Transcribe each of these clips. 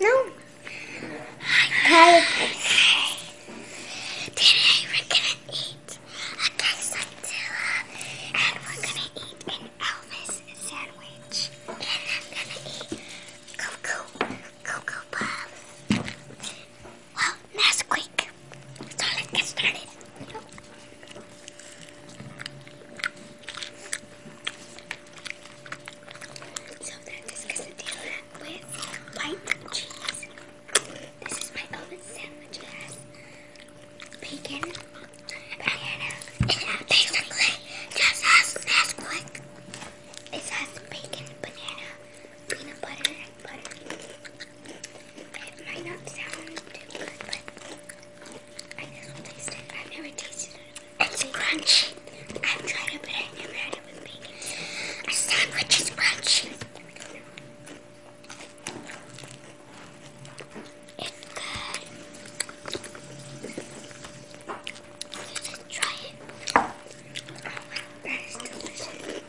No. Today we're gonna eat a quesadilla and we're gonna eat an Elvis sandwich. And I'm gonna eat Cocoa, Cocoa Puff. Well, Nesquik. So let's get started. So then discuss the that with white cheese. This is my oven sandwich. This has bacon, banana, it has just has Nesquik. It has bacon, banana, peanut butter, and butter. It might not sound too good, but I guess we'll taste it. I've never tasted it. It's crunchy. I've tried it, but I never had it with bacon. A sandwich is crunchy. It's good. You should try it. Oh,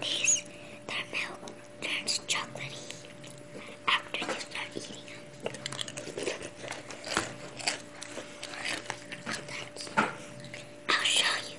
These, their milk turns chocolatey after you start eating them. I'll show you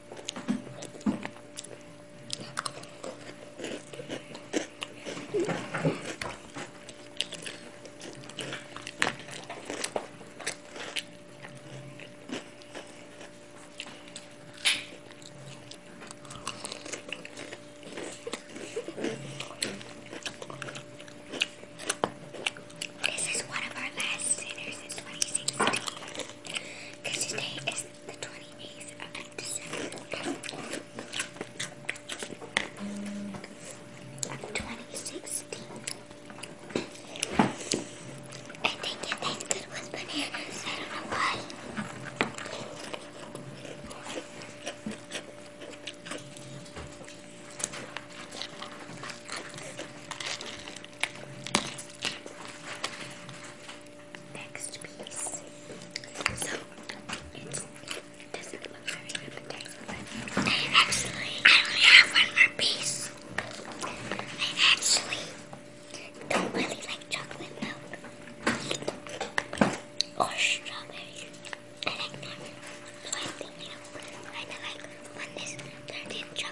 This is one of our last dinners in 2016. Because today is the 28th of December 2016. I think it tastes good bananas. I don't know why. Next piece. So it doesn't look very appetizing, I actually I only have one more piece. I actually don't really like chocolate milk or strawberry. I like normal. So I think you know, I like when this dirty chocolate.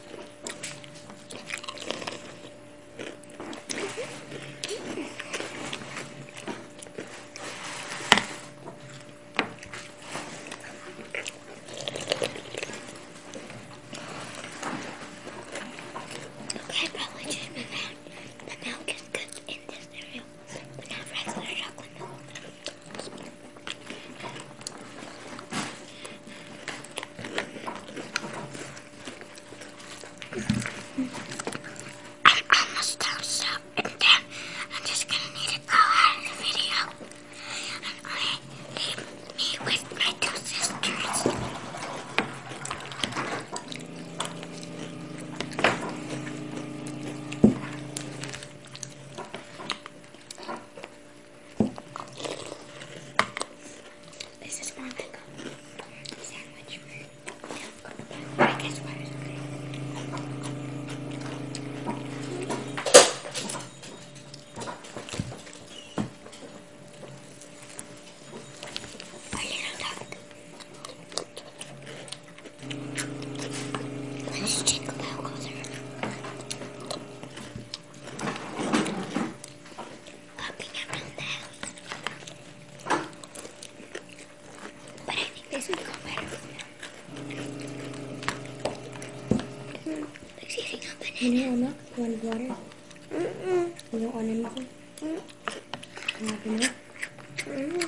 I probably should have found the milk is good in this cereal, but not regular chocolate milk. I'm almost done, so and I'm just gonna need to go out of the video and only leave me with my two sisters. This is more like a sandwich I guess water's okay. A little duck. Let's check them out closer. Walking around the house. But I think this would go better with them. Like saving milk, one water. Mm -mm. You don't want anything? Mm -mm. You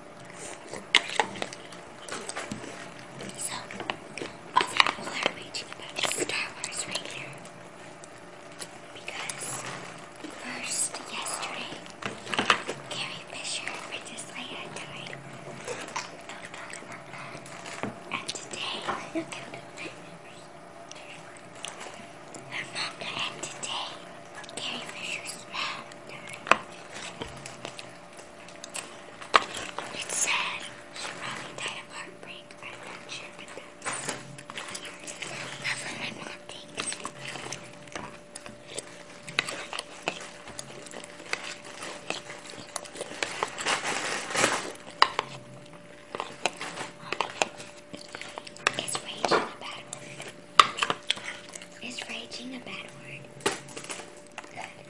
So, I'm other people are raging about Star Wars right here. Because first, yesterday, Carrie Fisher and Princess Leia died. And today, look out her And today, Carrie Fisher's mom it's sad. She probably died of heartbreak. I'm not sure, but that's, what my mom thinks. It's raging about is raging a bad word? Good.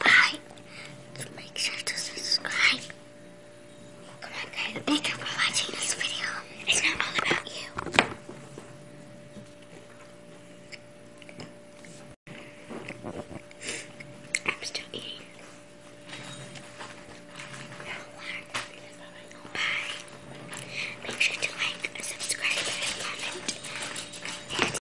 Bye. make sure to subscribe. Come on, guys. Thank you for watching this video. It's not all about you. I'm still eating. Bye. Make sure to like, subscribe, comment.